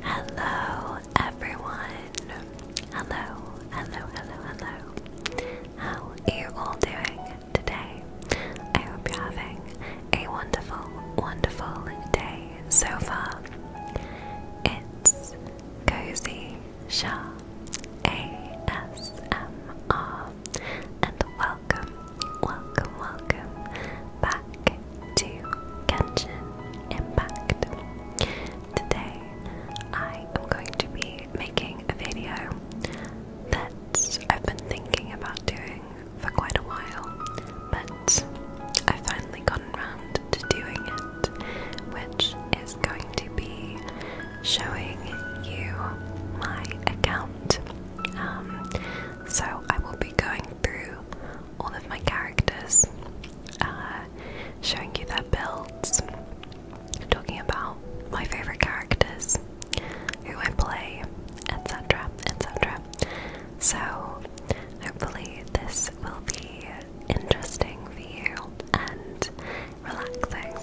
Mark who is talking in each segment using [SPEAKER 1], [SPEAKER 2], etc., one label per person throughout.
[SPEAKER 1] Hello, everyone. Hello, hello, hello, hello. How are you all doing today? I hope you're having a wonderful, wonderful day so far. It's Cozy Shah ASMR, and welcome, welcome, welcome back to Genshin Impact. Today I am going to be making a video that I've been thinking about doing for quite a while, but I finally gotten around to doing it, which is going to be showing you my account. Um, so I will be going through all of my characters, uh, showing you their builds, talking about my favourite characters, who I play, etc. etc. So, hopefully, this will be interesting for you and relaxing.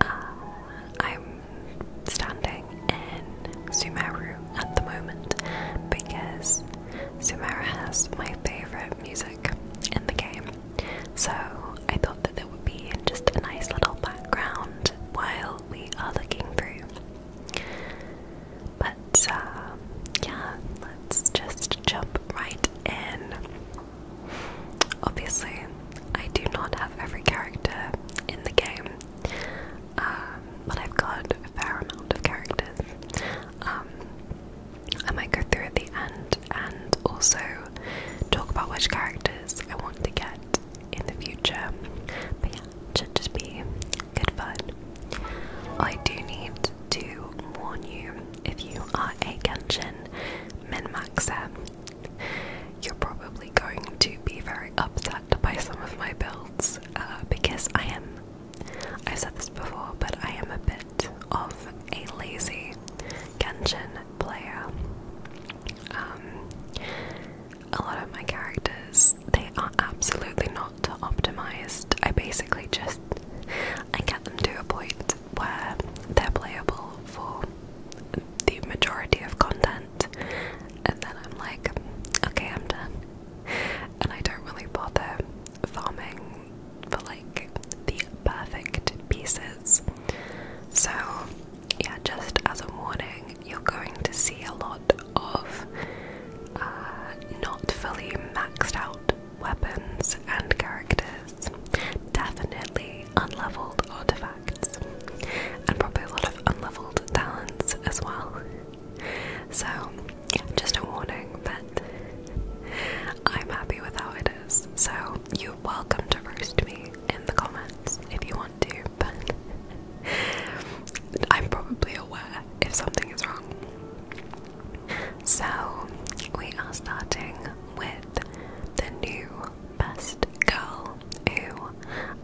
[SPEAKER 1] Uh, I'm standing in Sumeru at the moment because Sumeru has my favourite music in the game. So I thought that there would be just a nice little background while we are looking through. But uh, yeah, let's just jump right in. Obviously, I do not have every character in the game. Um, but I've got a fair amount of characters. Um, I might go through at the end and also talk about which characters I want to get in the future. But yeah, it should just be good fun. I do need to warn you if you are a Genshin min you're probably going to be very upset by some of my builds uh, because I am, I've said this before, but I am a bit of a lazy Genshin player. Um, a lot of my characters, they are absolutely not optimized. I basically just, I get them to a point where they're playable for the majority of content, and then I'm like, okay, I'm done and I don't really bother farming for like the perfect pieces. So, yeah, just as a warning, you're going to see a lot of uh, not fully maxed out weapons and characters, definitely unlevelled artifacts, and probably a lot of unlevelled talents as well. So, just a warning, but I'm happy with how it is. So, you're welcome to roast me in the comments if you want to, but I'm probably aware if something is wrong. So, we are starting with the new best girl who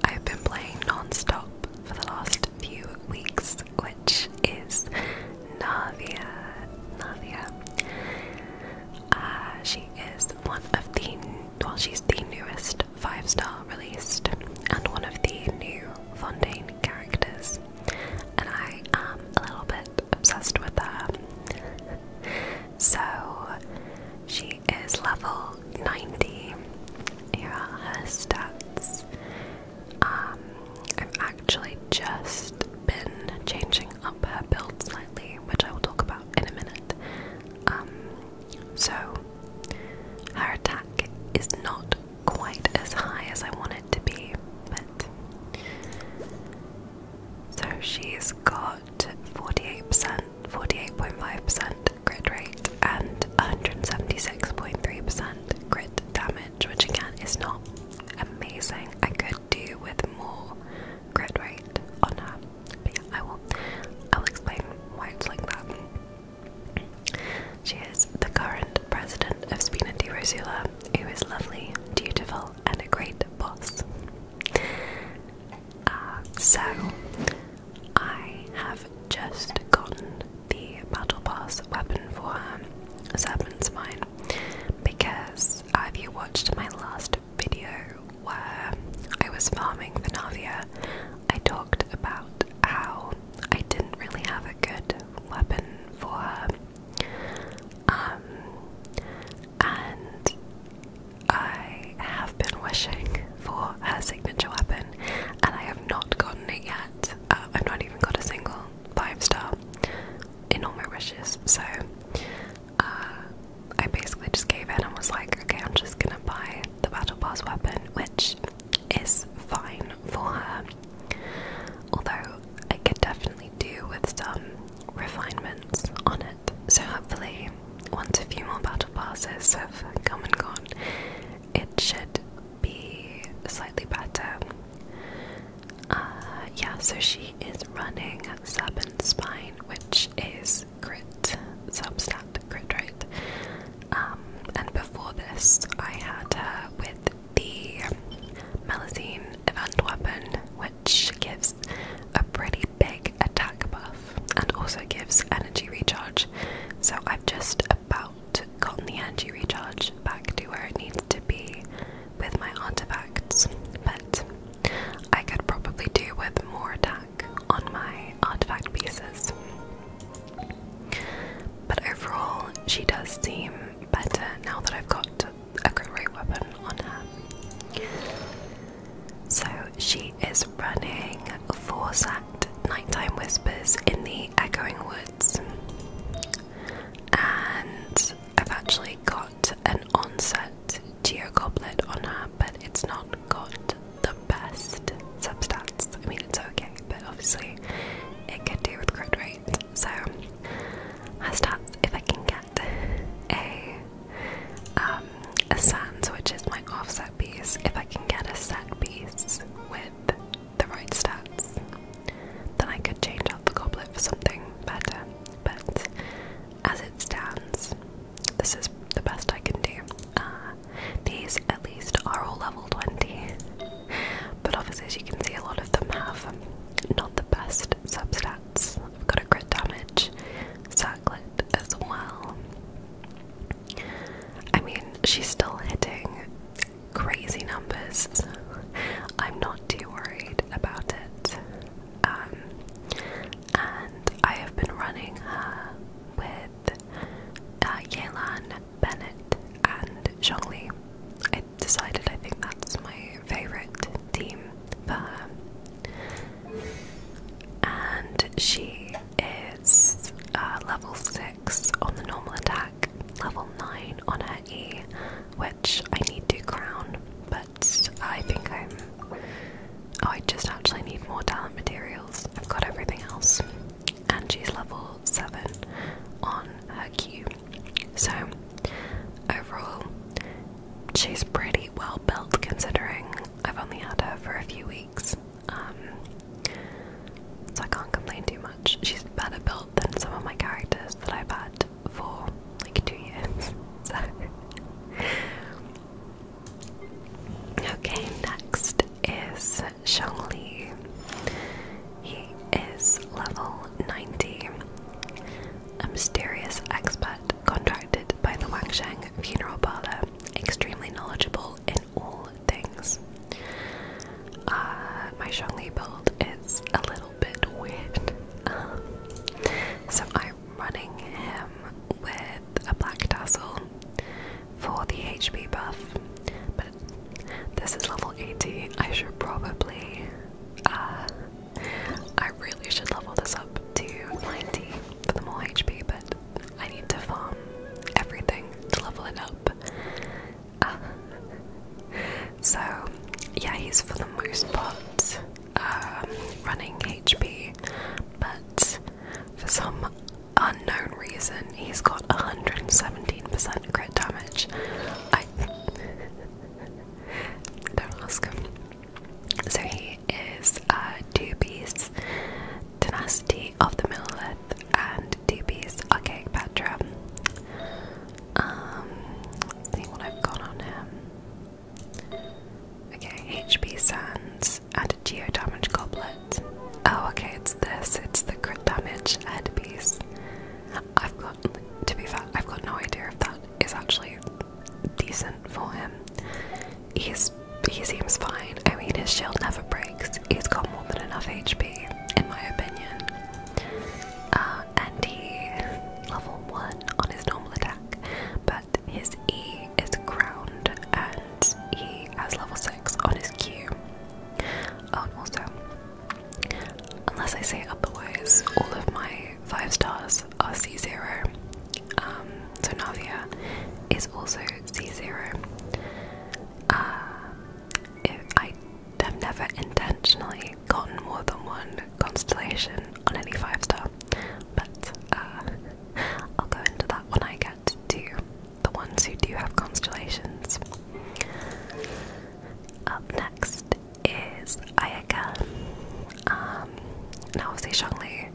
[SPEAKER 1] I've been playing non stop for the last few weeks, which is Navia. Navia. Uh, she is one of the well, she's the newest five-star released and one of the new Fontaine characters, and I am a little bit obsessed with her. so she is level 90. Here are her stats. Um, I've actually just been changing up her build slightly, which I will talk about in a minute. Um, so, her attack is not quite as high as I want it to be, but. So she's got 48%, 48.5% Grid rate and 176.3% grid damage, which again is not amazing. I could do with more grid rate on her. But yeah, I will I'll explain why it's like that. She is the current president of Spina di Rosula, who is lovely, dutiful, and a great boss. Uh, so I have just gotten the battle pass weapon for her, um, Serpent's Mine, because uh, if you watched my last video where I was farming the Navia, I talked about how I didn't really have a good weapon for her. Um, and I have been wishing for her signature weapon, and I have not gotten it yet. Uh, I've not even got a single five star in all my wishes, so uh, I basically just gave in and was like, okay, I'm just gonna buy the Battle Pass weapon, which is fine for her. Although I could definitely do with some refinements on it. So hopefully, once a few more battle passes have come and gone, it should be slightly better. Uh, yeah, so she is running sub and spine, which is grit, substat grit, right? Um, and before this, I had her with the Melazine event weapon, which gives a pretty big attack buff and also gives energy recharge. So I've just about out, gotten the energy recharged back to where it needs to be with my artifacts, but I could probably do with more attack on my artifact pieces. But overall, she does seem better now that I've got a great weapon on her. So she is running 4 sec nighttime whispers in the echoing woods. And I've actually got an offset geo on her, but it's not got the best substats. I mean, it's okay, but obviously it could do with crit rate. So, her stats, if I can get a um, a sands, which is my offset piece, if I can get a set piece with the right stats, then I could change out the goblet for something better. But as it stands, this is the best I can do. Uh, these, at least, are all level 20. But obviously, as you can see, a lot of them have not the best substats. I've got a crit damage circlet as well. I mean, she's still hitting crazy numbers. I'm not too worried about it. Um, and I have been running with uh, Yelan, Bennett, and Zhongli. I decided I think that's my favourite team for And she is uh, level 6 on the normal attack, level 9 on her E, which I need to crown, but I think I'm. Oh, I just actually need more talent materials. I've got everything else. And she's level 7 on her Q. So, overall, she's pretty well built considering I've only had her for a few weeks. Um, so I can't complain too much. She's better built than some of my characters that I've had for like two years. Okay, next is Li. He is level 90, a mysterious expert contracted by the Wangsheng Funeral Parlor, extremely knowledgeable in all things. Uh, my Zhongli build is a little bit weak, um, so I'm running him with a black tassel for the HP buff, but this is level 80. I should probably, uh, I really should level this up to 90 for the more HP, but I need to farm everything to level it up. so, yeah, he's for the most part um, running HP, but for some unknown reason, he's got 117% crit damage. don't ask him. So, he is uh, two beasts, tenacity of the Middle Earth and DB's Archaic Patra. Um, let see what I've got on him. Okay, HP Sands and a Geo Damage Goblet. Oh, okay, it's this. It's the crit damage and piece. I've got, to be fair, I've got no idea if that is actually decent for him. He's he seems fine. I mean, his shield never breaks he's got more than enough HP, in my opinion. Uh, and he level one on his normal attack, but his E is ground, and he has level six on his Q. Oh, also, unless I say otherwise, all of my five stars are C zero. Um, so Navia is also C zero. Uh, if I I've never intentionally gotten more than one constellation on any five star, but uh, I'll go into that when I get to the ones who do have constellations. Up next is Ayaka. Um, now, obviously, Shangli,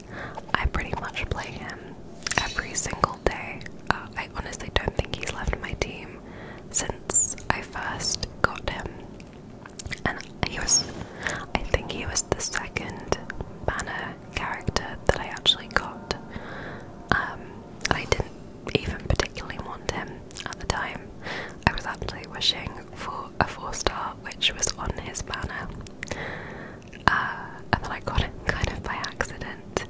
[SPEAKER 1] I pretty much play him every single day. Uh, I honestly don't think he's left my team since I first got him. And he was, I think he was the second banner character that I actually got. Um, I didn't even particularly want him at the time. I was actually wishing for a four star, which was on his banner. Uh, and then I got it kind of by accident.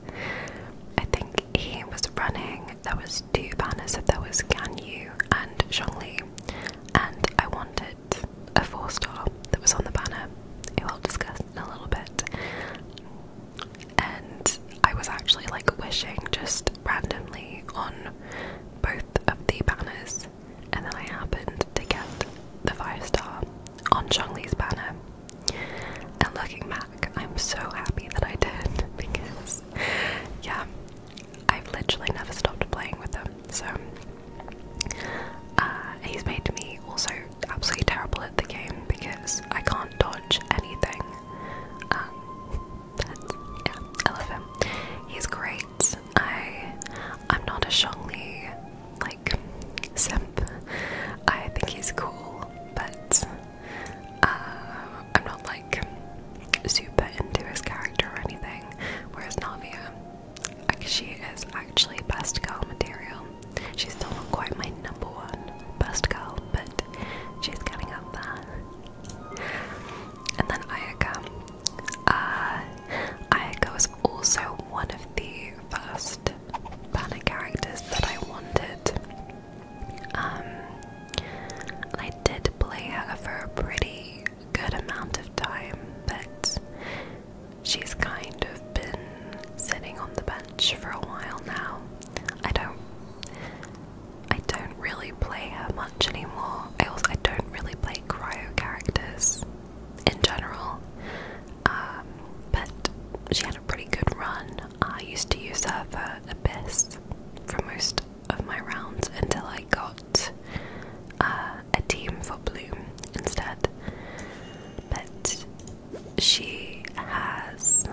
[SPEAKER 1] I think he was running. There was two banners. There was Gan Yu and Zhongli, and I wanted a four star that was on the banner. It will discuss in a little bit. And I was actually like wishing just randomly on both of the banners, and then I happened to get the five star on Zhongli's banner. And looking back, I'm so happy that I did because, yeah, I've literally never stopped playing with them. So, uh, he's made me also absolutely terrible at the game because I can't dodge anything. Um, but I love him. He's great. I, I'm not a Shongli like simp. I think he's cool, but uh, I'm not like super into his character or anything, whereas Navia, like she is actually best girl material. She's still not quite my number one best girl, but she's getting up there. And then Ayaka. Uh, Ayaka was also one of the first banner characters that I wanted. Um, I did play her for a pretty good amount of time, but she's kind of been sitting on the bench for a while now. I don't, I don't really play her much anymore. I also I don't really play cryo characters in general, um, but she had a pretty good run I used to use her for Abyss for most of my rounds until I got uh, a team for Bloom instead. But she has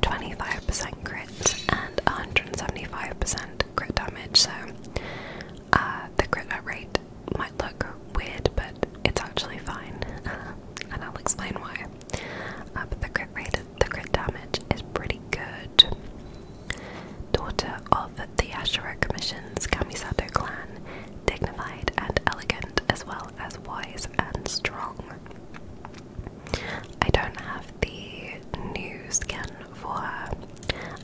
[SPEAKER 1] 25% crit and 175% crit damage, so uh, the crit rate might look weird, but it's actually fine, and I'll explain why. Uh, the crit rate, the crit damage is pretty good. Daughter of the Ashura Commission's Kamisato clan, dignified and elegant as well as wise and strong. I don't have the new skin for her.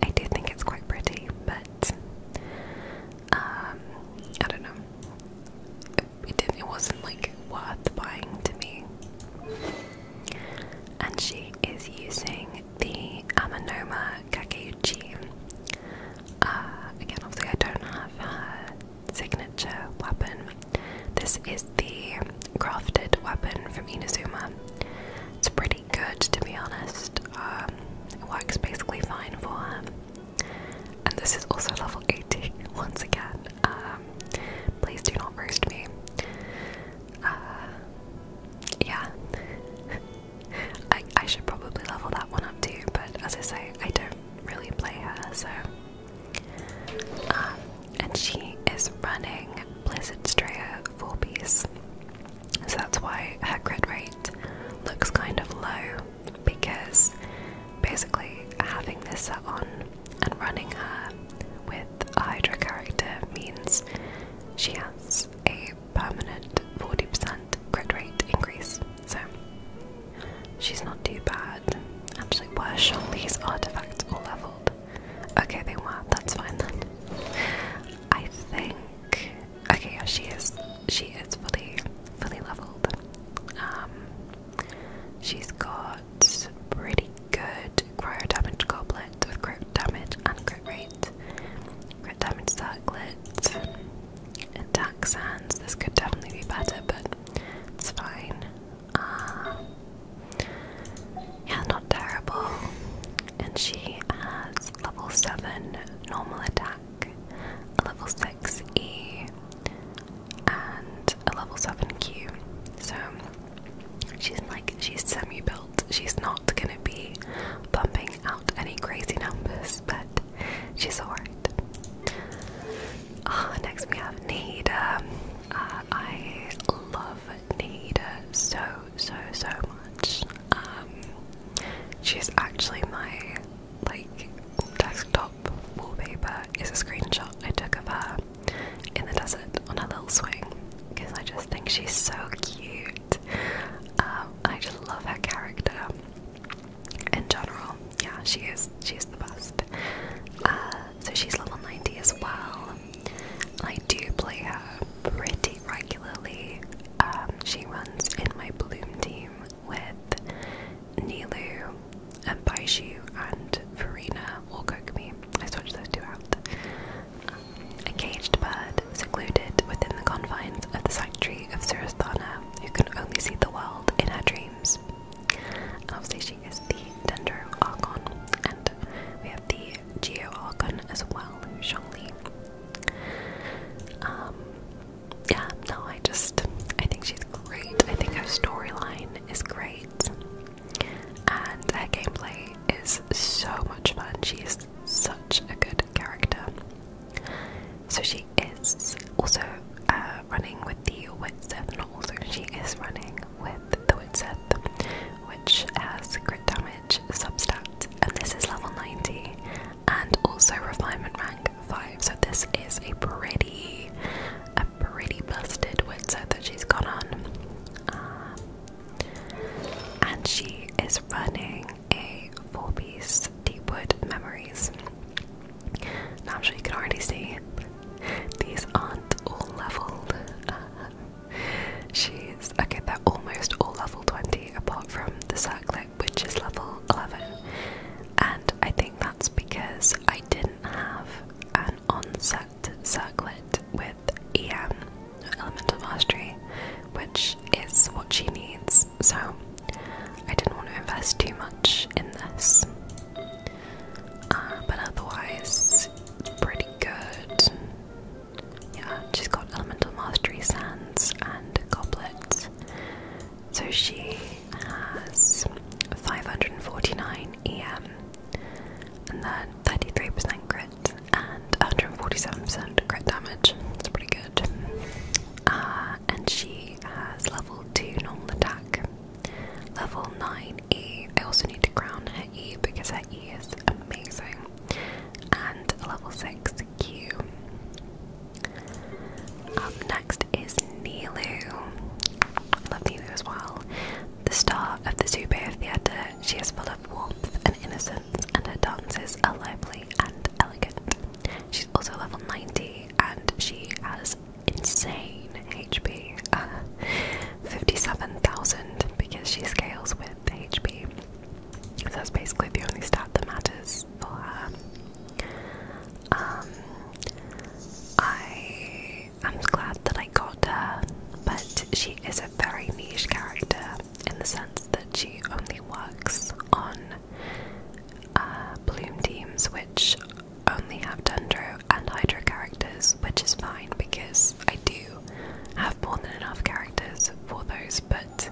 [SPEAKER 1] I do think it's quite pretty, but um, I don't know it wasn't like worth buying to me. And she is using the Amanoma Kakeuchi. Uh, again, obviously, I don't have her signature weapon. This is the crafted weapon from Inazuma. It's pretty good, to be honest. Um, it works basically fine for her. And this is also level 80 once again. Um, please do not roast me. Uh, yeah. I, I should probably level that one up too, but as I say, I don't really play her, so. Um, and she is running Blizzard Strayer 4 piece, so that's why her crit rate looks kind of low because basically having this set on and running her with Hydra character means she has a permanent 40% crit rate increase, so she's not too bad. Actually, were these artifacts all leveled? Okay, they were, that's fine then. I think, okay, yeah, she is, she is fully, fully leveled. Um, she's got pretty good cryo damage goblet with crit damage and crit rate. Crit damage circlet, attack sands. This could definitely be better, but it's fine. Uh, yeah, not terrible. And she has level 7 normal attack, a level 6 E, and a level 7 Q. So she's like, she's semi built. She's not gonna be bumping out any crazy numbers, but she's alright. Ah, next we have Nahida. Ah, I love Nahida so, so, so much. Um, she's actually my like desktop wallpaper It's a screenshot I took of her in the desert on her little swing because I just think she's so cute. Um, I just love her character in general. Yeah, she is. She is the best. Uh, so she's level 90 as well. I do play her pretty regularly. Um, she runs in my Bloom team with Nilu and Baishu and Farina or Kokumi. I switched those two out. a caged bird secluded within the confines of the sanctuary of Surasthana, who can only see the world in her dreams. obviously, she is the Dendro Archon, and we have the Geo Archon as well, Shongli. Um, yeah, no, I just I think she's great. I think her storyline is great and her gameplay is so much fun. She's such a good character. So she is also uh, running with the Witseth, and also, she is running with the Witseth, which has crit damage, substat, and this is level 90, and also refinement rank 5. So this is a pretty a pretty busted windsuit that she's got on. Um, and she is running a four piece Deepwood Memories. Now, I'm sure you can already see these aren't all leveled. Uh, she's okay, they're almost all level 20 apart from the circlet, which is level 11. And I think that's because I didn't have an on set circlet with EM, Elemental Mastery, which is what she needs, so I didn't want to invest too much in this. Uh, but otherwise, it's pretty good. Yeah, she's got Elemental Mastery Sands and Goblets. So she has 549 EM and then 33% crit and 147% crit damage. It's pretty good. Uh, and she has level 2 normal attack, level 9 E. I also need to crown her E because her E is amazing, and level 6 Q. Up next is Nilu. Love you as well. The star of the Zubair Theatre, she is full of warmth and innocence, and her dances are lively and elegant. She's also level 90, and she has insane HP uh, 57,000 because she scales with HP. So that's basically the only stat that matters for her. Um, I I'm glad that I got her, but she is a very niche character in the sense that she only works on uh, Bloom teams, which only have Dendro and Hydro characters, which is fine because I do have more than enough characters for those, but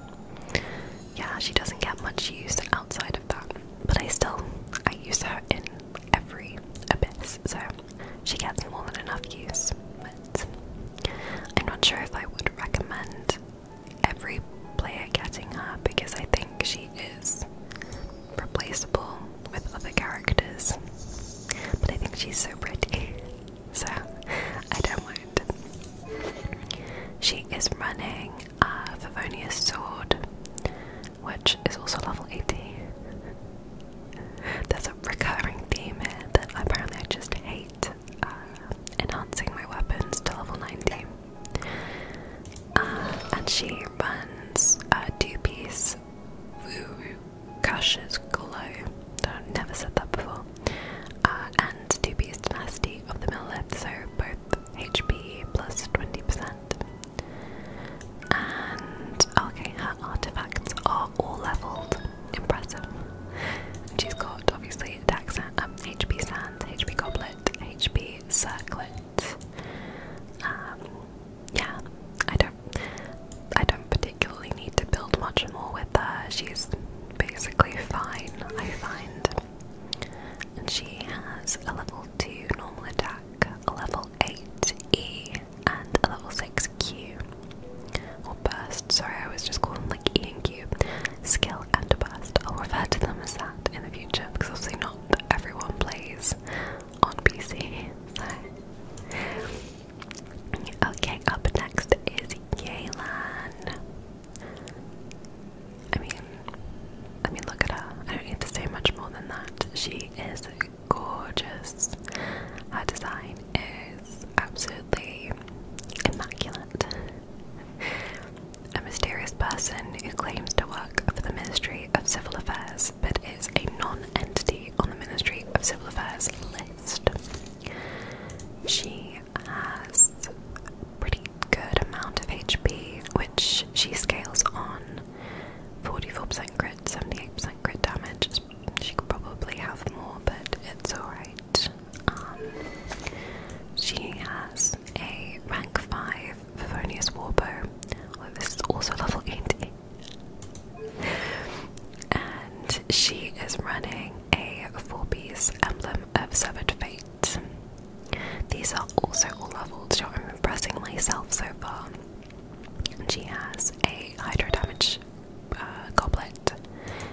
[SPEAKER 1] yeah, she doesn't get much use outside of that. But I still, I use her in every abyss, so she gets more than enough use, but I'm not sure if I would recommend every player getting her because I think she is replaceable with other characters. But I think she's so pretty, so I don't mind. She is running a Favonia's sword, which is also level 80. There's a recurring theme here that apparently I just hate uh, enhancing my weapons to level 90. Uh, and she runs a two piece Vuru Gush's Glow. I've never said that before. Uh, and two piece Tenacity of the Mill so both HP plus 20%. And okay, her artifacts are all leveled. Impressive. she's got obviously attack um, HP Sand, HP Goblet, HP Circlet. Um, yeah, I don't, I don't particularly need to build much more with her. She's basically fine, I find. And she has a level two normal attack, a level eight E, and a level 6 Q or burst. Sorry, I was just calling like E and Q. Skill and burst. I'll refer to them as that in the future because obviously not everyone plays on PC. Okay, up next is Yelan. I mean, I mean, look at her. I don't need to say much more than that. She is gorgeous. Her design is absolutely immaculate. A mysterious person who claims to work for the Ministry of Civil Affairs but is a non entity on the Ministry of Civil Affairs list. She has a pretty good amount of HP, which she scales on 44% 78% crit damage. She could probably have more, but it's alright. Um, she has a rank 5 Favonius Warbow. Oh, this is also level 80. and she is running a 4 piece emblem of Severed Fate. These are also all levels, so I'm impressing myself so far. She has a hydro damage uh, goblet,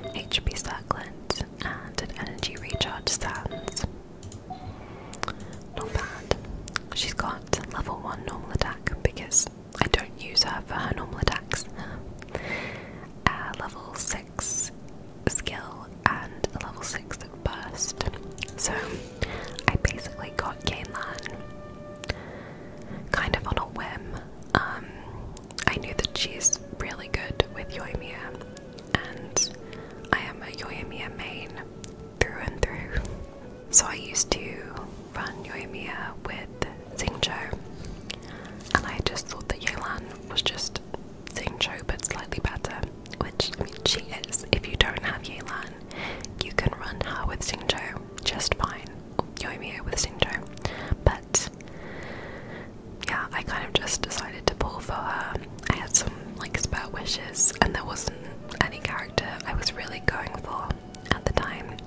[SPEAKER 1] HP circlet, and an energy recharge sands. Not bad. She's got level 1 normal attack because I don't use her for her normal attacks. Uh, level 6 skill and level 6 burst. So I basically got Gainlan, kind of on a whim. Um, I knew that she's really good with Yoimiya, and I am a Yoimiya main through and through. So I used to run Yoimiya with Xingqiu, and I just thought that Yelan was just Xingqiu but slightly better, which I mean, she is. If you don't have Yelan, you can run her with Xingqiu, just fine. Yoimiya with Sinjo. But yeah, I kind of just decided to pull for her. I had some like spur wishes and there wasn't any character I was really going for at the time.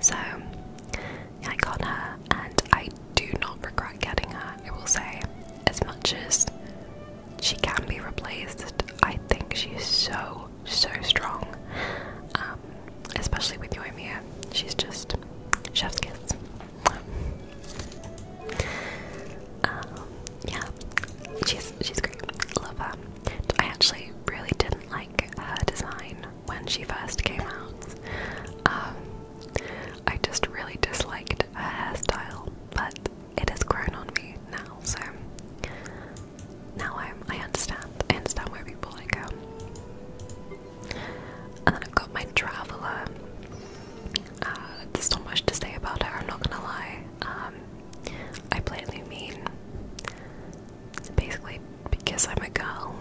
[SPEAKER 1] So I got her and I do not regret getting her, I will say. As much as she can be replaced, I think she's so so, so strong. Um, especially with Yoimiya. She's just chef's kiss. Um, yeah. She's she's great. Love her. I actually really didn't like her design when she first came out. Um, I just really disliked her hairstyle, but it has grown on me now, so now i understand. I understand where people like go. And then I've got my traveler. Uh, there's not much to say about her. I'm not gonna lie. Um, I play mean. basically because I'm a girl.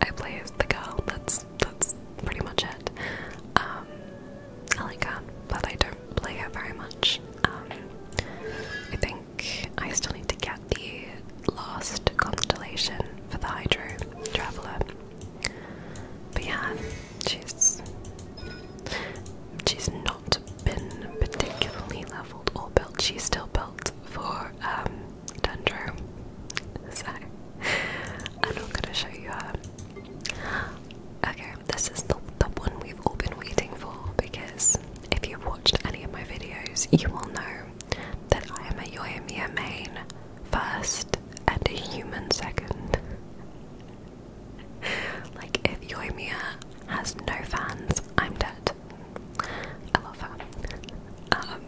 [SPEAKER 1] I play as the girl. That's that's pretty much it. Um, I like her, but I don't play her very much. Um, I think I still need to get the last constellation for the Hydro Traveler. But yeah, she's she's not been particularly leveled or She's still built for um Dendro. So I'm not gonna show you her. Okay, this is the, the one we've all been waiting for because if you've watched any of my videos, you will know that I am a Yoimiya main first and a human second. like, if Yoimiya has no fans, I'm dead. I love her. the um,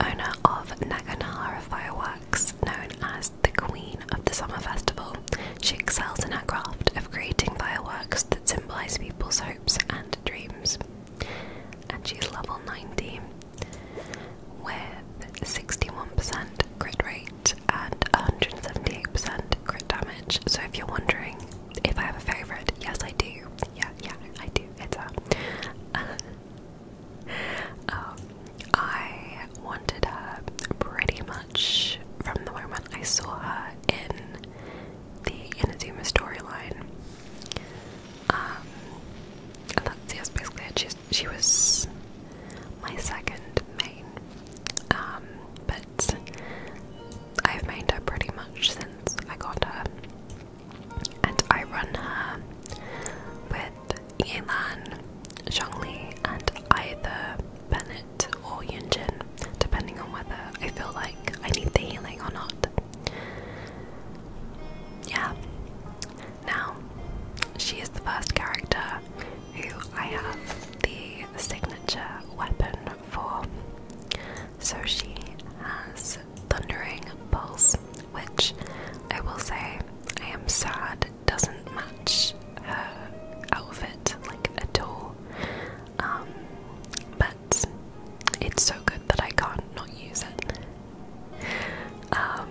[SPEAKER 1] owner of Naganahara Fireworks, known as the Queen of the Summer Festival, she excels in her craft creating fireworks that symbolize people's hopes and dreams. And she's level 90 with 61% crit rate and 178% crit damage. So if you're wondering if I have a favourite, yes I do. Yeah, yeah, I do. It's her. Uh, um, wanted her pretty much from the moment I saw her in the Inazuma storyline. Um, and basically she was my second main, um, but I've mained her pretty much since I got her, and I run her with Yelan, Zhongli, and either Bennett Bit or Yunjin, depending on whether I feel like I need the healing or not. Yeah. Now, she is the first character who I have the signature weapon for. So she has Thundering Pulse, which I will say I am sad doesn't match her outfit like at all. Um, but it's so good that I can't not use it. Um,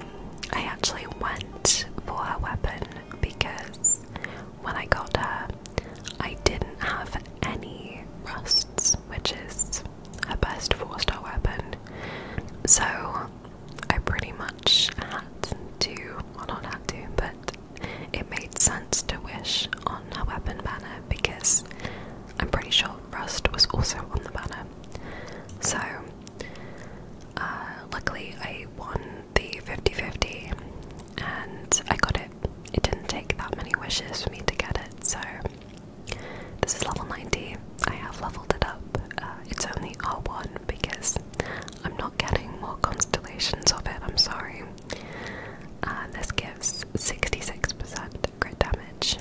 [SPEAKER 1] I actually went for her weapon because when I got her, I didn't have any rusts, which is her best four star weapon. So I pretty much had to, well, not had to, but it made sense to wish on a weapon banner because I'm pretty sure Rust was also on the banner. So, uh, luckily, I won the 50 50 and I got it. It didn't take that many wishes for me to get it, so this is level 90. I have leveled it up. Uh, it's only R1 because I'm not getting more constellations of it, I'm sorry. Uh, this gives 66% crit damage.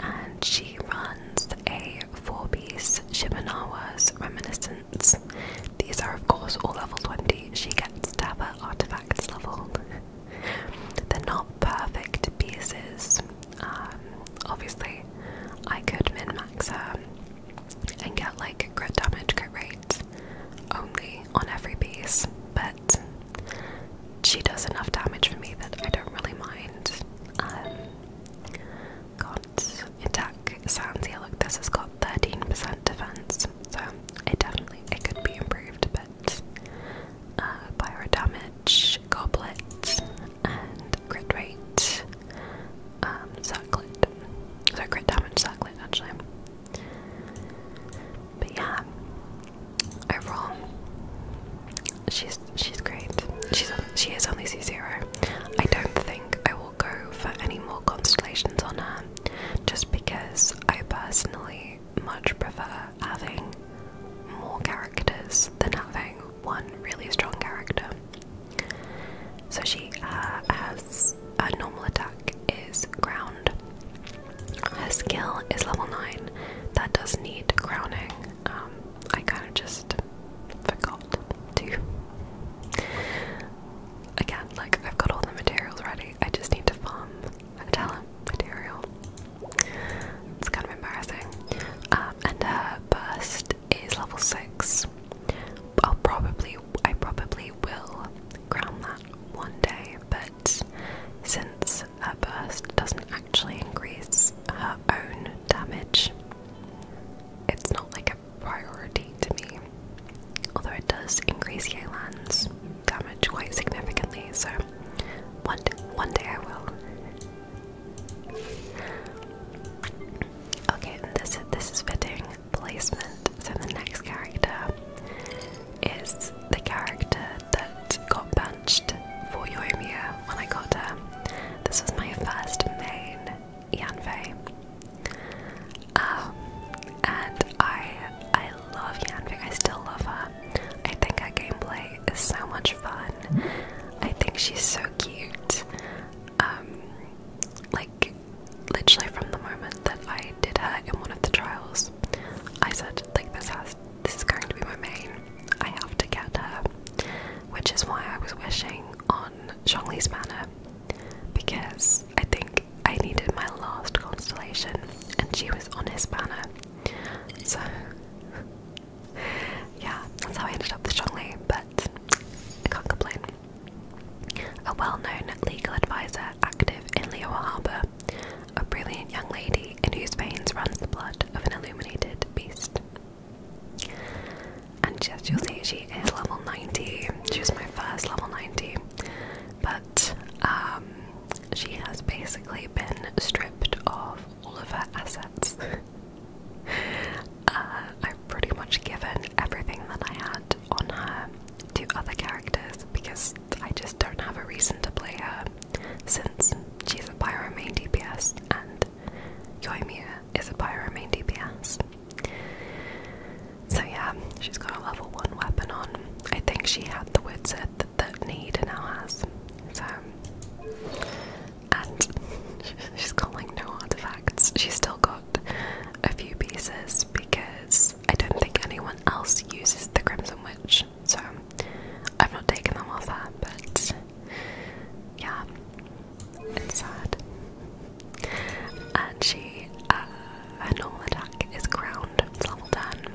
[SPEAKER 1] And she runs a four piece Shimanawa's Reminiscence. These are, of course, all level 20. She gets to have her artifacts leveled. They're not perfect pieces. Um, obviously, I could min max her and get like crit damage crit rate only on every piece, but she does enough damage for me that I don't really mind. Um, got attack sounds yeah look this has got 13% defense, so it definitely it could be improved, but uh, pyro damage, goblet, and crit rate, um, circlet. So crit damage circlet actually. But yeah, overall, she's she's great. She's she is only C zero. I don't think I will go for any more constellations on her, just because I personally much prefer having more characters than having one really strong character. So she uh, has a normal attack is ground. Her skill is level 9. That does need crowning. Um, I kind of just forgot to. Again, like I've got all the materials ready. I just need to farm metal material. It's kind of embarrassing. Um, and her bust is level 6. I'll probably, I probably will crown that one day, but since her burst doesn't actually increase her own damage, it's not like a priority to me. Although it does increase Yelan's damage quite significantly, so one day, one day I will. Okay, this this is fitting placement. So the next character is the character that got benched for Yoimiya when I got her. This was my first main Yanfei. Um, and I I love Yanfei, I still love her. I think her gameplay is so much fun. I think she's so cute. Um, like literally from the moment that I did her in one of the trials, I said like this has this is going to be my main. I have to get her, which is why I was wishing on Zhongli's Manor because I think I needed my last constellation, and she was on his banner. So yeah, that's how I ended up with Zhongli, but I can't complain a well known legal advisor active in Leo Harbour, a brilliant young lady in whose veins runs the blood of an illuminated beast. And yes, you'll see she is level 90. She was my first level 90. But um, she has basically been stripped of all of her assets. Uh, I've pretty much given everything that I had on her to other characters because I just don't have a reason to play her since she's a pyro main DPS and Yoimiya is a pyro main DPS. So yeah, she's got a level 1 weapon on. I think she had the word set that, that Nade now has. So and she's got like no artifacts. She's still got a few pieces because I don't think anyone else uses the Crimson Witch, so I've not taken them off that. but yeah, it's sad. And she, uh, her normal attack is ground, level 10.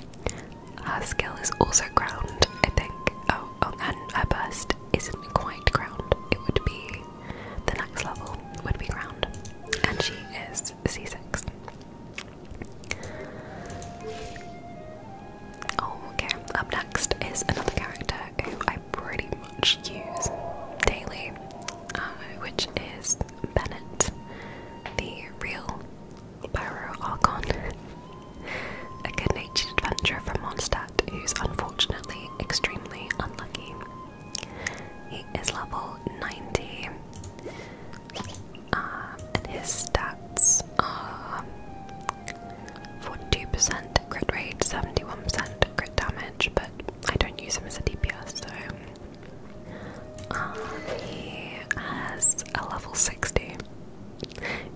[SPEAKER 1] Her skill is also ground, I think. Oh, oh and her burst isn't quite ground, it would be the next level would be ground. And she is is oh, okay. Up next is another character who I pretty much use daily, uh, which is Bennett, the real Pyro Archon, a good natured adventurer from Mondstadt who's unfortunately extremely unlucky. He is level 90. Uh, and his stats are 42% crit rate, 71% crit damage, but I don't use him as a DPS, so. Um, he has a level 60.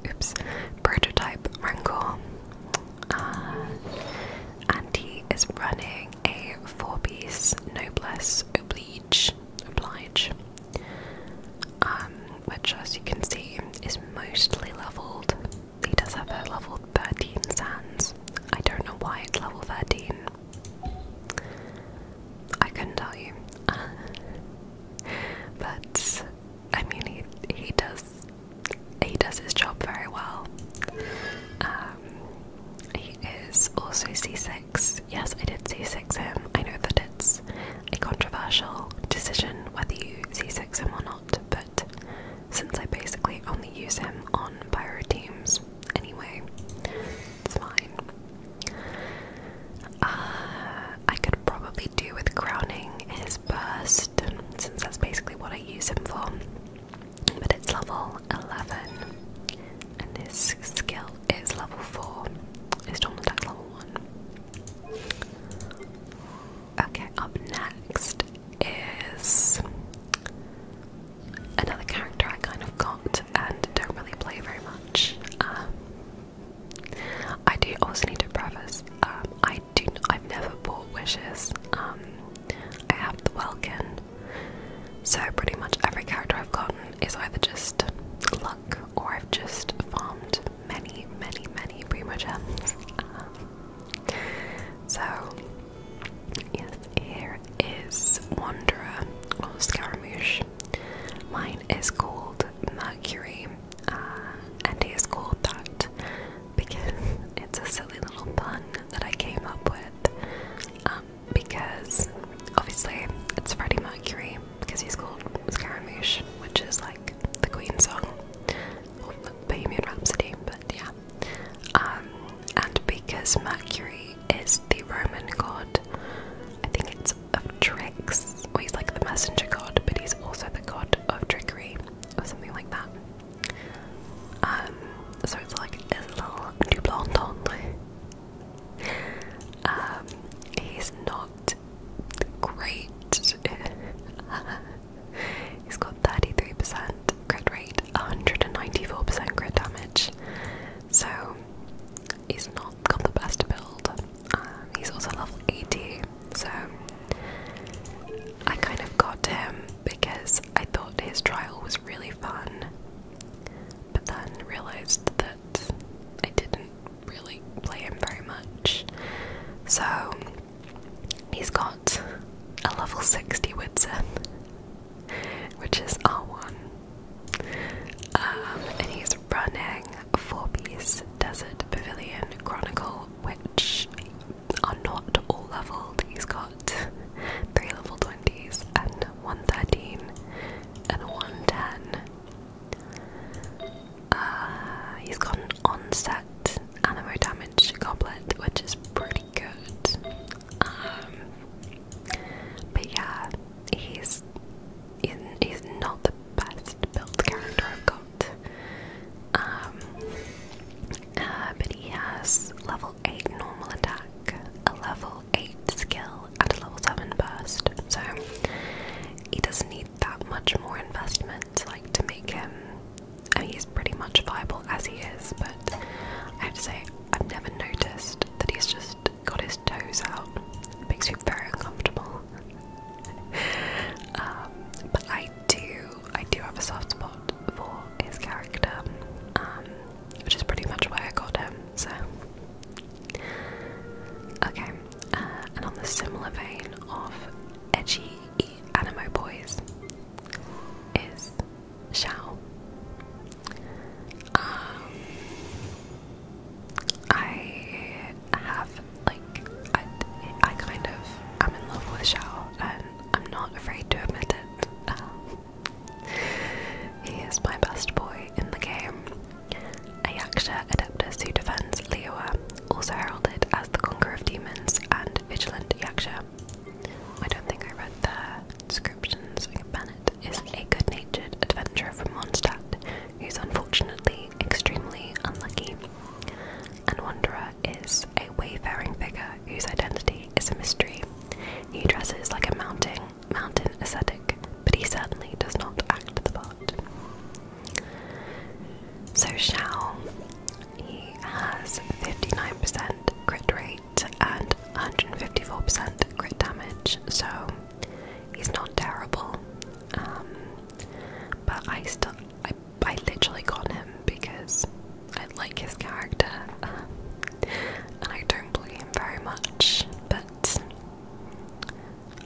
[SPEAKER 1] Oops. Prototype Rancor. Uh, and he is running a four piece Noblesse Oblige oblige, oblige, um, which as you can see is mostly leveled. He does have a level 13 sands. I don't know why it's level 13. I couldn't tell you. but I mean, he he does he does his job very well. Um, he is also seasick. Yes, I did see 6 him. I know that it's a controversial decision whether you C6 him or not, but since I basically only use him on pyro teams anyway, it's fine. Uh, I could probably do with crowning his burst, since that's basically what I use him for. But it's level 11 and this skill is level 4. His normal attack level 1. Okay, up next is another character I kind of got and don't really play very much. Um, I do also need to preface. Um, I do. I've never bought wishes. Um, I have the Welkin so pretty much every character I've gotten is either just luck or I've just farmed many, many, many primo gems. Um, so yes, here is Wanderer or Scaramouche. Mine is called Mercury, uh, and he is called that because it's a silly little pun that I came up with. Um, because obviously it's Freddie Mercury because he's called Scaramouche, which is like the Queen song or Bohemian Rhapsody, but yeah. Um, and because Mercury is the Roman god, I think it's of tricks, or he's like the messenger god, but he's also the god of trickery or something like that. Um, so it's like a little double um, he's not great. he's got 33% crit rate, 194% crit damage. So he's not got the best build. Um, he's also level 80, so I kind of got him because I thought his trial was really fun but then realized that I didn't really play him very much. So he's got a level 60 Witsen, which is R1. Um, and he's running a four piece Desert Pavilion Chronicle, which are not all leveled. He's got three level 20s and 113, and 110. Uh, he's got an onset animo damage goblet, which is pretty good. Um, but yeah, he's, he's he's not the best built character I've got. Um, uh, but he has level eight normal attack, a level level 8 skill and a level 7 burst, so he doesn't need that much more investment like to make him. I he's pretty much viable as he is, but I have to say, I've never noticed that he's just got his toes out. makes me very uncomfortable. Um, but I do, I do have a soft spot for his character, um, which is pretty much why I got him. So, okay. Uh, and on the similar vein of edgy animo boys is Xiao. Um, I have like I, I kind of am in love with Xiao, and I'm not afraid to admit it. Um, he is my best boy in the game. A Yaksha Adeptus who defends Leoa, also heralded as the Conqueror of Demons and Vigilant Yaksha. I don't think I read the descriptions. A Bennett is a good natured adventurer from Mondstadt who's unfortunately extremely unlucky. And Wanderer is a wayfaring figure whose identity is a mystery. He dresses like a mounting mountain ascetic, but he certainly does not act the part. So Xiao, he has 59% crit rate and 154% crit damage, so he's not terrible. Um, but I still, I, I literally got him because I like his character, uh, and I don't play him very much, but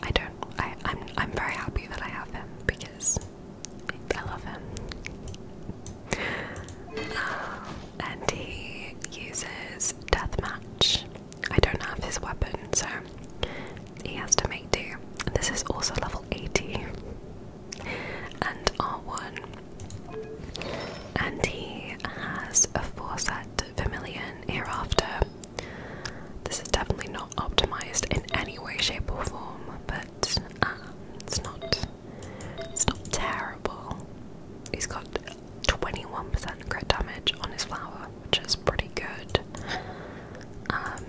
[SPEAKER 1] I don't. I, I'm. I'm very happy that I have him because I love him, and he uses deathmatch. I don't have his weapon, so he has to make do. This is also level 80 and R1, and he has a four set familiar hereafter. This is definitely not optimized in any way, shape, or form, but um, it's not it's not terrible. He's got 21% crit damage on his flower, which is pretty good. Um,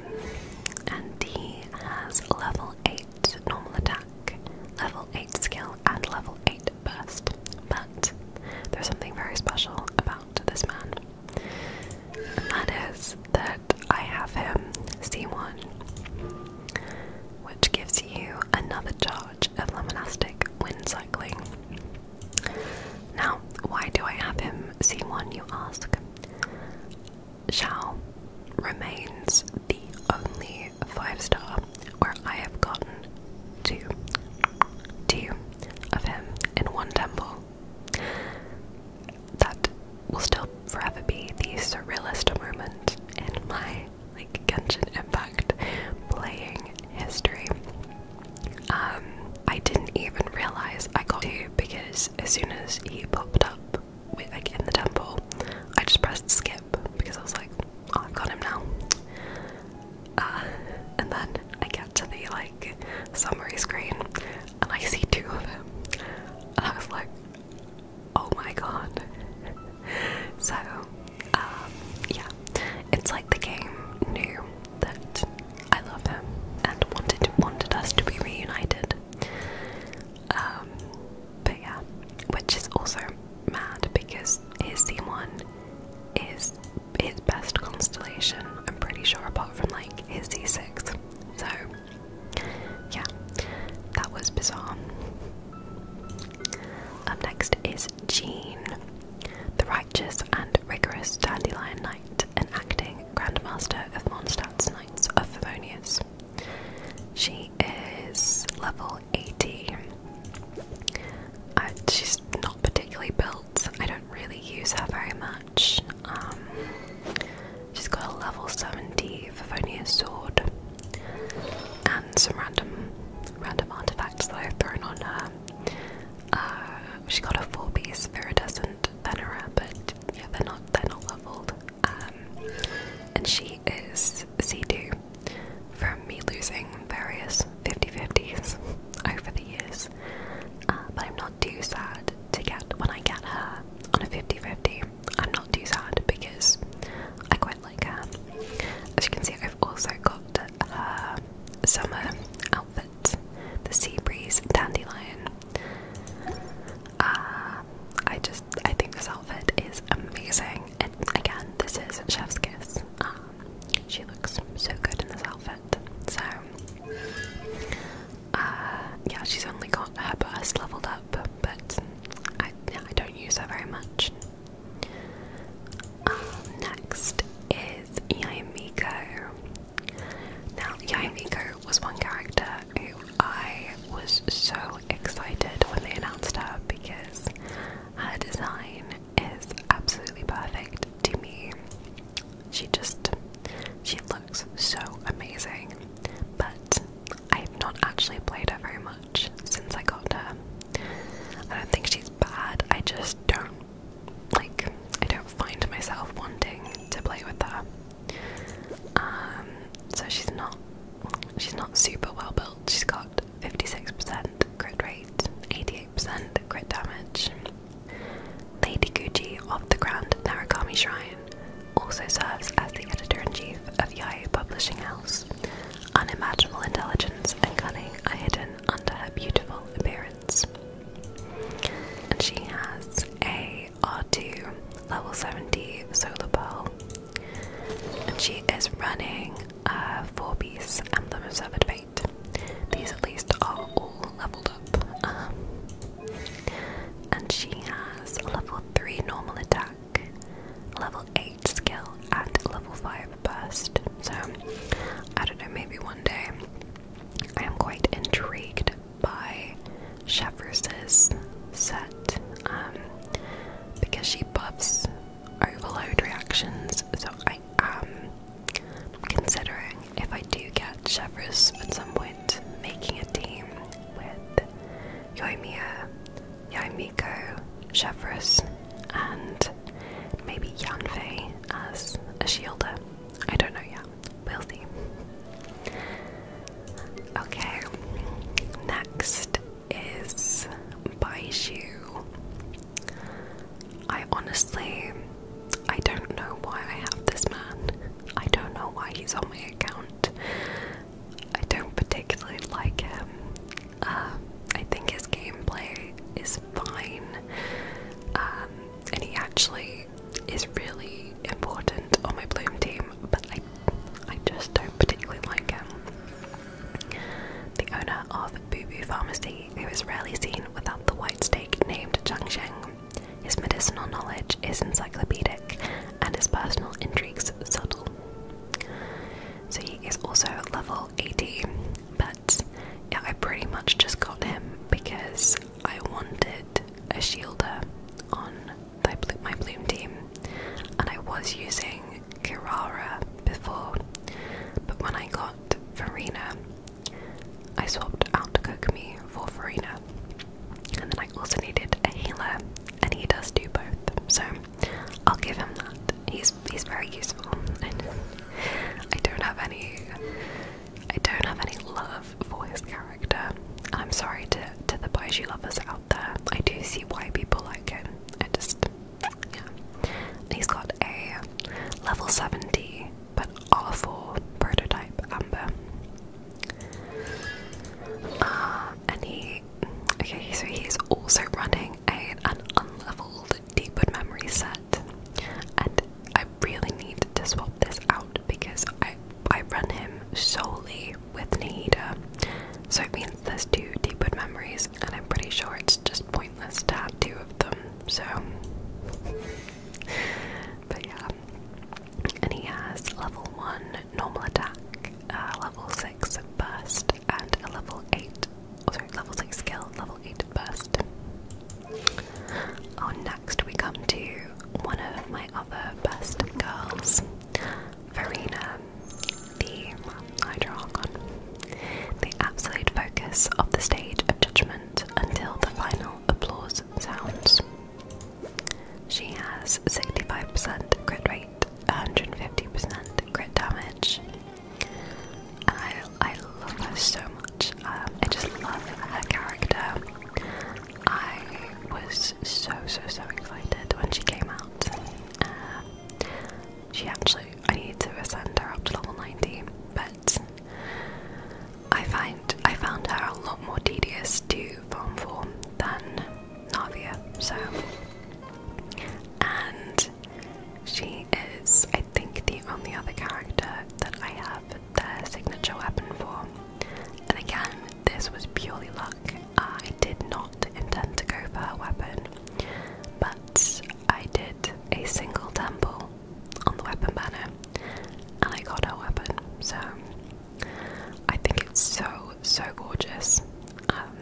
[SPEAKER 1] and he has level 8 normal attack, level 8 skill, and level 8 might But there's something very special about this man, and that is that I have him C1, which gives you another charge of Lemonastic Wind Cycling. Now, why do I have him C1, you ask? Xiao remains the only 5 star where I have gotten to, two of him in one temple. That will still forever be the surrealist moment in my like Genshin Impact playing history. Um, I didn't even realize I got two because as soon as he popped up, like in the temple, I just pressed skip because I was like, Oh, I've got him now. Uh, and then I get to the like summary screen and I see two of them. And I was like, oh my god. So, um, yeah, it's like the game knew that I love him and wanted wanted us to be reunited. Um, but yeah, which is also mad because is his C1 is his best constellation, I'm pretty sure, apart from like his C6. So, yeah, that was bizarre. Up next is Jean, the righteous and rigorous dandelion knight and acting grandmaster of Mondstadt's Knights of Favonius. She is level 80. Uh, she's not particularly built. I don't really use her very much. Um, she's got a level 70 Vivonia sword and some random random artifacts that I've thrown on her. Uh, she's got a four-piece viridescent venera, but yeah, they're not they're not leveled. Um, and she is C2 from me losing various 50 50s over the years. Uh, but I'm not too sad to get when I get her on a 50 50. I'm not too sad because I quite like her. As you can see, I've also got her summer outfit the sea breeze dandelion. Uh, I just I think this outfit is amazing. And again, this is Chef's Kiss. Uh, she looks so good in this outfit. So, uh, yeah, she's only got her burst leveled up, but I, I don't use her very much. Um, next is Yaimiko. Now, Yaimiko was one character who I was so excited when they announced her because her design is absolutely perfect to me. She just she looks so amazing. But I have not actually played her very much since I got her. I don't think she's bad. I just don't like I don't find myself wanting to play with her. Um so she's not she's not super well built. She's got 56% 88 crit rate, 88% crit damage. Lady Guji of the Grand Narukami Shrine also serves as the editor in chief of Yai Publishing House. Unimaginable intelligence and cunning are hidden under her beautiful appearance. And she has a R2 level 70 solar pearl. And she is running a four piece Emblem of Severed Fate. These at least are all leveled up. Um, and she has level 3 normal attack, level 8 skill, and level 5 burst. So, I don't know, maybe one day. I am quite intrigued by Chevrus's set um, because she buffs overload reactions, so I um, I'm Considering if I do get Chevrolet at some point, making a team with Yomiya, Yaimiko, Chevrolet, and maybe Yanfei as a shielder. I don't know yet. We'll see. Okay, next is Baishu. I honestly, I don't know why I have this man. I don't know why he's on my account. I don't particularly like him. Um, I think his gameplay is fine, um, and he actually is really important on my Bloom team. But I, I just don't particularly like him. The owner of Boo Boo Pharmacy he, who is rarely seen without the white stake named Zhangsheng. His medicinal knowledge is encyclopedic and his personal intrigues subtle. So he is also level 80, but yeah, I pretty much just got him because I wanted a shielder on my bloom team, and I was using Kirara before, but when I got Farina, I swapped out Kokumi for Farina. And then I also needed a healer, and he does do both. So I'll give him that. He's he's very useful. I don't have any I don't have any love for his character. I'm sorry to to the Baiju lovers out there. I do see why people like him. I just yeah. He's got a level 70 but awful prototype Amber. Uh, and he, okay, so he's also running a, an unlevelled Deepwood memory set, and I really need to swap this out because I I run him solely with Nahida, so it means there's two Deepwood memories, and I'm pretty sure it's just pointless to have two of them, so. But yeah. And he has level 1 normal attack, uh, level 6 burst, and a level 8, oh sorry, level 6 skill, level 8 burst. On oh, next we come to one of my other best girls, Verena, the Hydro The absolute focus of the stage of judgment until the final applause sounds. She has 65% crit rate, 150% crit damage. I, I love her so much. Um, I just love her character. I was so, so, so excited when she came out. Uh, she actually, I need to ascend her up to level 90, but I find I found her a lot more tedious to farm for than Navia, so and she is I think the only other character that I have the signature weapon for. And again, this was purely luck. I did not intend to go for her weapon, but I did a single temple on the weapon banner, and I got her weapon. So I think it's so so gorgeous, um,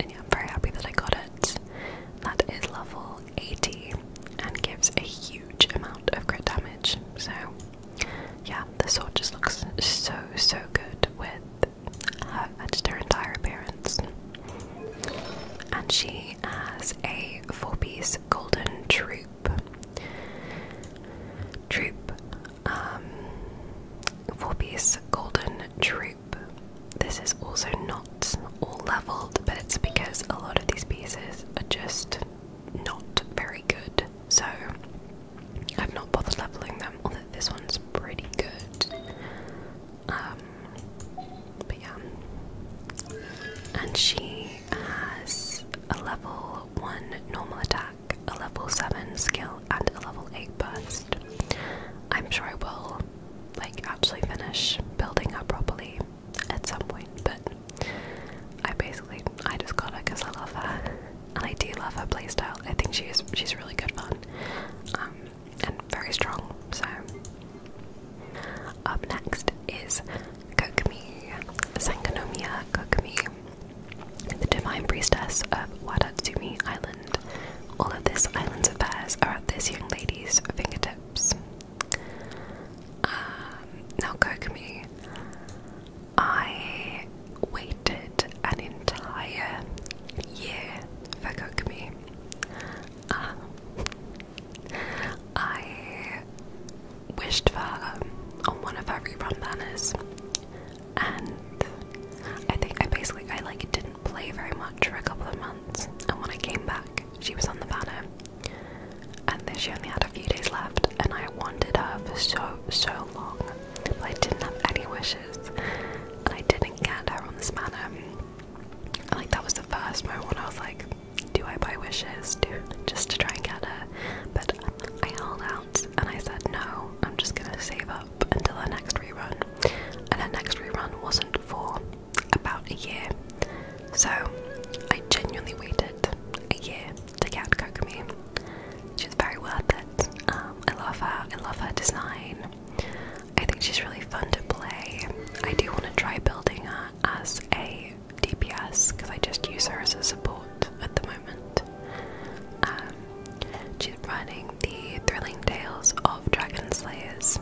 [SPEAKER 1] and yeah, I'm very happy that I got it. That is level 80 and gives a huge amount of crit damage. So yeah, the sword just looks so so good with her, just her entire appearance and she has a four piece golden troop. Troop, um, four piece golden troop. This is also not all leveled, but it's because a lot of these pieces are just not very good, so I've not bothered leveling them. Although this one's pretty good. Um, but yeah. And she has a level 1 normal attack, a level 7 skill, and a level 8 burst. I'm sure I will like actually finish building her properly at some point, but I basically I just got her because I love her. And I do love her playstyle. I think she is she's really good fun. Um, and very strong, so up next is Kokomi, Sankanomiya Kokomi, the divine priestess of Wadatsumi Island. All of this island's affairs are at this young lady's fingertips. Um, now, Kokomi, I waited an entire year for Kokomi. I wished for on one of her rerun banners, and I think I basically I like didn't play very much for a couple of months, and when I came back, she was on the banner, and then she only had a few days left, and I wanted her for so so long, but I didn't have any wishes, and I didn't get her on this banner. Like that was the first moment when I was like, do I buy wishes to just to try and get her? But I held out and I said no, I'm just gonna save up until the next rerun. And the next rerun wasn't for about a year. So I genuinely waited a year to get Kokomi. She was very worth it. Um, I love her, I love her design. I think she's really fun to play. I do want to try building her as a DPS because I just use her as a support at the moment. Um, she's running the Thrilling Tales of Dragon Slayers,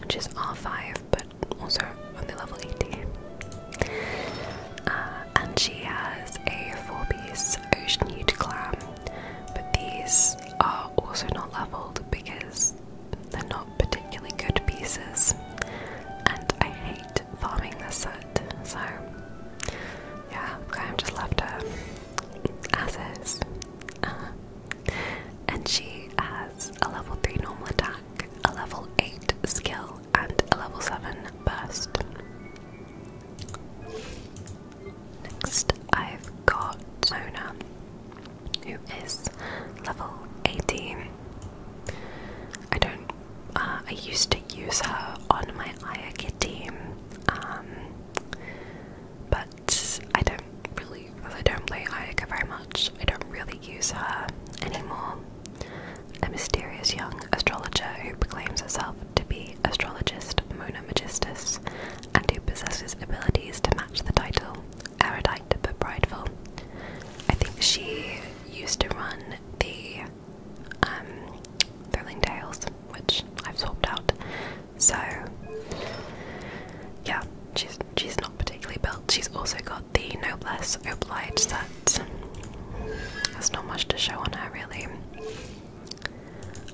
[SPEAKER 1] which is R5 but also only level 80. Uh, and she has a four piece Ocean Ute clam, but these are also not leveled because because they're not particularly good pieces, and I hate farming this set, so yeah, I've just left her as is. Uh, and she has a level 3 normal attack, a level 8 skill, and a level 7 burst. Next, I've got Mona who is level 18. I don't, uh, I used to use her on my Ayaka team, um, but I don't really, I don't play Ayaka very much, I don't really use her anymore. A mysterious young astrologer who proclaims herself to be astrologist Mona Magistus and who possesses abilities to match the title erudite but prideful. I think she used to run the um, Thrilling Tales, which I've swapped out. So yeah, she's she's not particularly built. She's also got the Noblesse Oblige set. There's not much to show on her really.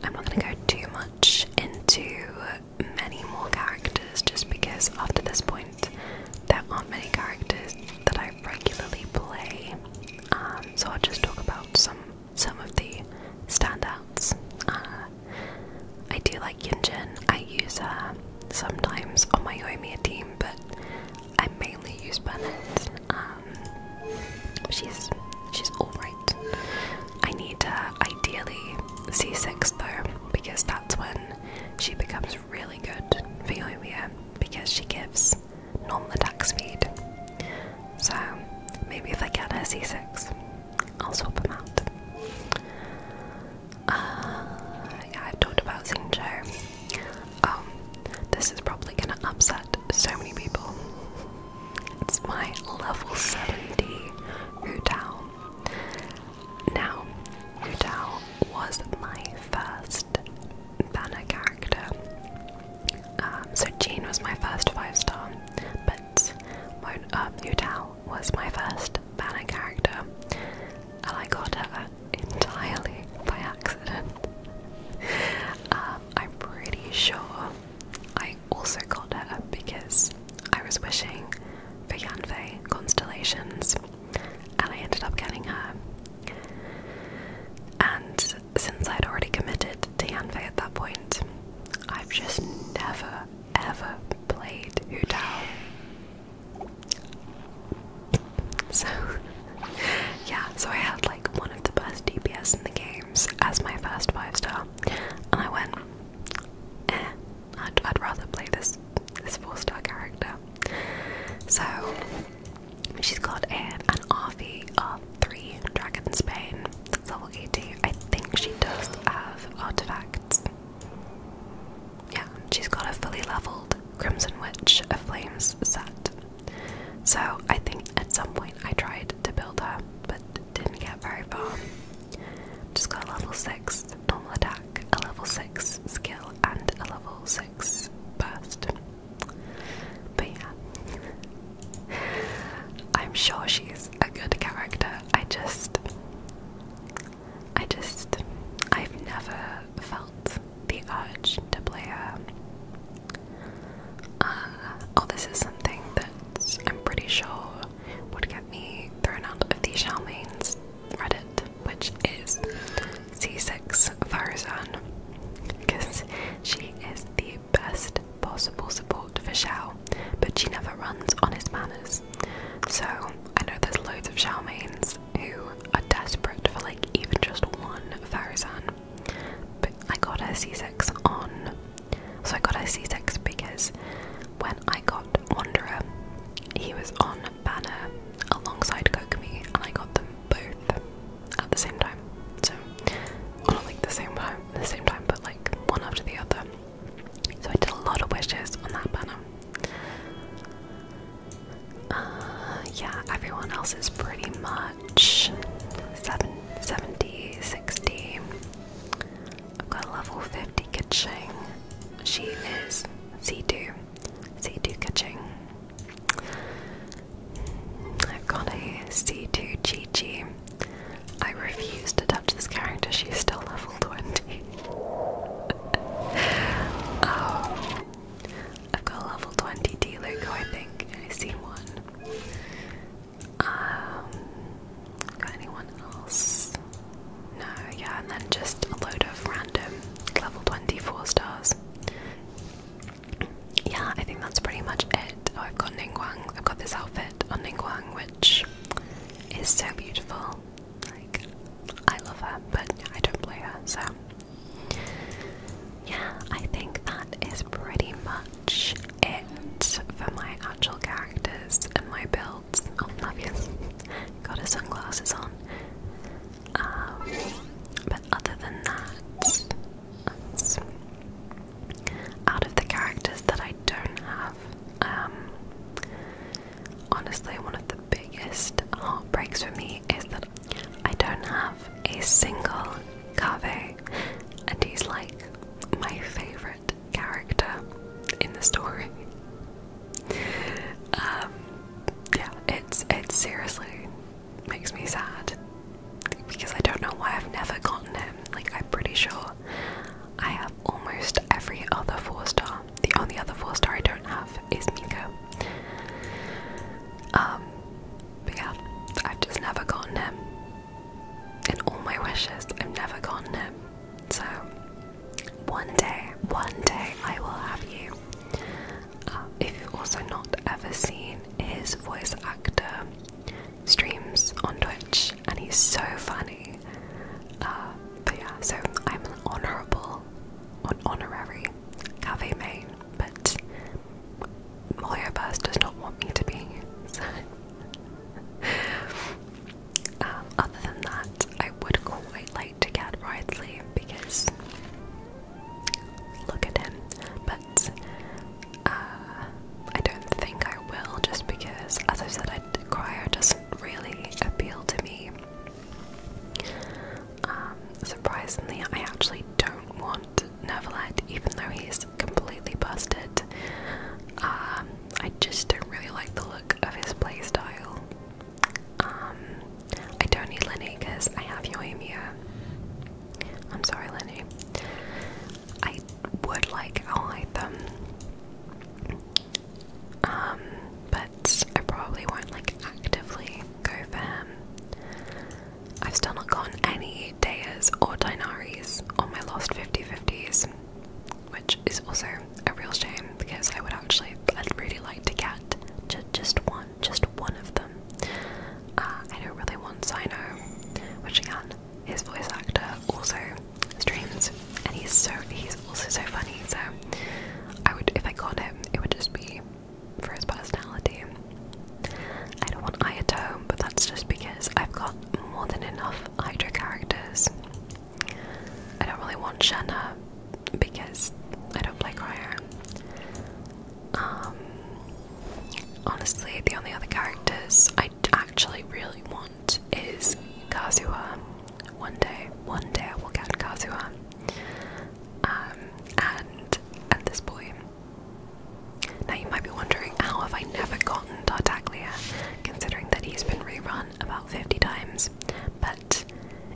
[SPEAKER 1] I'm not going to go too much into many more characters just because after this point there aren't many characters that I regularly play, um, so I'll just talk about some some of the standouts. Uh, I do like Yinjin. I use her sometimes on my Yoimiya team, but I mainly use Bennett. Um, she's she's all right. I need to ideally see 6 though, because that's when she becomes really good for Yoimiya because she gives normal attack speed. So maybe if I get ac 6 I'll swap them out. Uh, yeah, I've talked about Xingqiu. Um, this is probably gonna upset so many people. It's my level 70 Wu Tao. Now, Udao was my first banner character. Um, so Jean was my first five star, but um, Udao was my first banner character, and I got her entirely by accident. Um, I'm pretty sure I also got her because I was wishing for Yanfei constellations and I ended up getting her. And since I'd already committed to Yanfei at that point, I've just never, ever played Hu So, yeah, so I had like one of the best DPS in the games as my first 5 star, and I went, eh. I'd, rather play this this four star character. So she's got an an RV of three dragons spain That's level 80. I think she does have artifacts. Yeah, she's got a fully leveled Crimson Witch of Flames set. So I think at some point I tried to build her, but didn't get very far. Just got level 6 normal attack, a level 6 skill, and a level 6 burst. But yeah, I'm sure she's a good character. I just, I just, I've never felt the urge to play her. Uh, oh, this is something that I'm pretty sure would get me thrown out of the Charmaine's Reddit, which is C6Farzan, because she is the best possible support for Xiao, but she never runs on his manners. So I know there's loads of Xiao mains who are desperate for like even just one Farzan, but I got a 6 on. So I got a 6 because when I got Wanderer, he was on banner alongside Kokomi, and I got them both at the same time. So, well, not like the same time, the same time, but like one after the other. So I did a lot of wishes on that banner. Uh, yeah, everyone else is pretty much 7, 70, 60. I've got a level 50 Kitching. She is C2. C2 Kaching. I've got a C2 Gigi. I refuse to touch this character, she's still level 20. oh. I've got a level 20 D Luco, I think. i see one. Um, got anyone else? No, yeah, and then just a load of random level 24 stars. Yeah, I think that's pretty much it. Oh, I've got Ningguang, I've got this outfit on Ningguang, which is so beautiful. Like, I love her, but I don't play her, so. Yeah, I think that is pretty much it for my actual characters and my builds. Oh, obvious. Got her sunglasses on. Um, but other than that, that's out of the characters that I don't have, um, honestly, one of the biggest heartbreaks for me is that I don't have a single Kaveh, and he's like my favorite character in the story. Um, yeah, it's it seriously makes me sad because I don't know why I've never gotten him. Like I'm pretty sure I have almost every other four star. The only other four star I don't have is Miko. Um, but yeah, I've just never gotten him. In all my wishes, I've never gotten him. So one day, one day I will have you. Um, if you've also not ever seen his voice actor streams on Twitch, and he's so funny. Uh, but yeah, so I'm an honourable, an honorary cafe main, but Mario Burst does not want me to be. So, um, other than that, I would quite like to get Ridley because look at him. But uh, I don't think I will just because, as I said, I choir doesn't really appeal to me. Um, surprisingly, I actually don't want Neverlet, even though he's completely busted. Um, I just don't really like the look of his playstyle. Um, I don't need Lenny because I have Yoimiya. I'm sorry, Lenny. I would like I'll them. Um, but I probably won't like actively go for him. I've still not gotten any Deas or Dinaries on my lost 50-50s, which is also a real shame because I would actually, I'd really like to get just one just one of them. Uh, I know really want Sino, which again, his voice actor also streams, and he's so he's also so funny. So I would, if I got him, it would just be for his personality. I don't want Ayato, but that's just because I've got more than enough Hydra characters. I don't really want Shanna because I don't play Cryer. Um, honestly, the only other characters I actually really want is Kazuha. One day, one day I will get Kazuha. Um, and at this point, now you might be wondering how have I never gotten Tartaglia, considering that he's been rerun about 50 times, but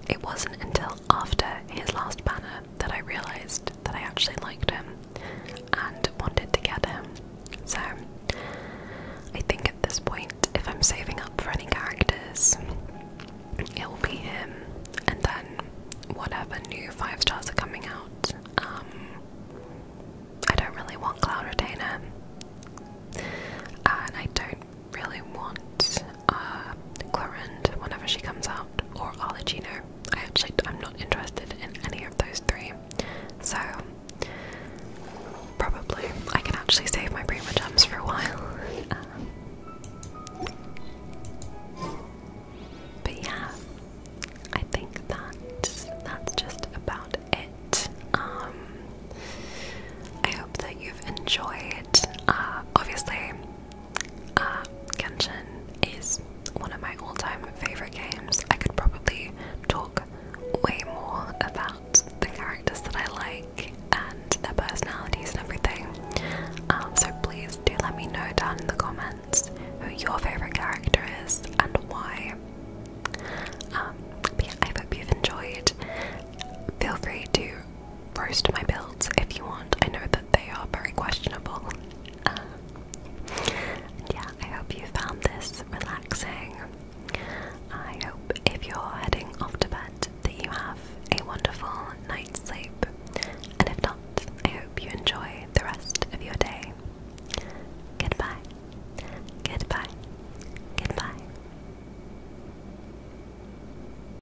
[SPEAKER 1] it wasn't until after his last banner that I realised that I actually liked him and wanted to get him. So, I think at this point, if I'm saving up for any characters, it will be him, and then whatever new five stars are coming out. Um, I don't really want Cloud Retainer, and I don't really want uh, whenever she comes out, or Arlecchino. I actually, I'm not interested in any of those three, so probably I can actually save my Prima gems for a while. Um, but yeah, I think that that's just about it. Um, I hope that you've enjoyed. Uh, obviously, uh, Genshin is one of my all-time favorite games. I could probably talk way more about the characters that I like and their personalities and everything. Um, so please do let me know down in the comments who your favorite character is and why. Um, I hope you've enjoyed. Feel free to first my builds if you want. I know that they are very questionable. Um, yeah, I hope you found this relaxing. I hope if you're heading off to bed that you have a wonderful night's sleep. And if not, I hope you enjoy the rest of your day. Goodbye. Goodbye. Goodbye.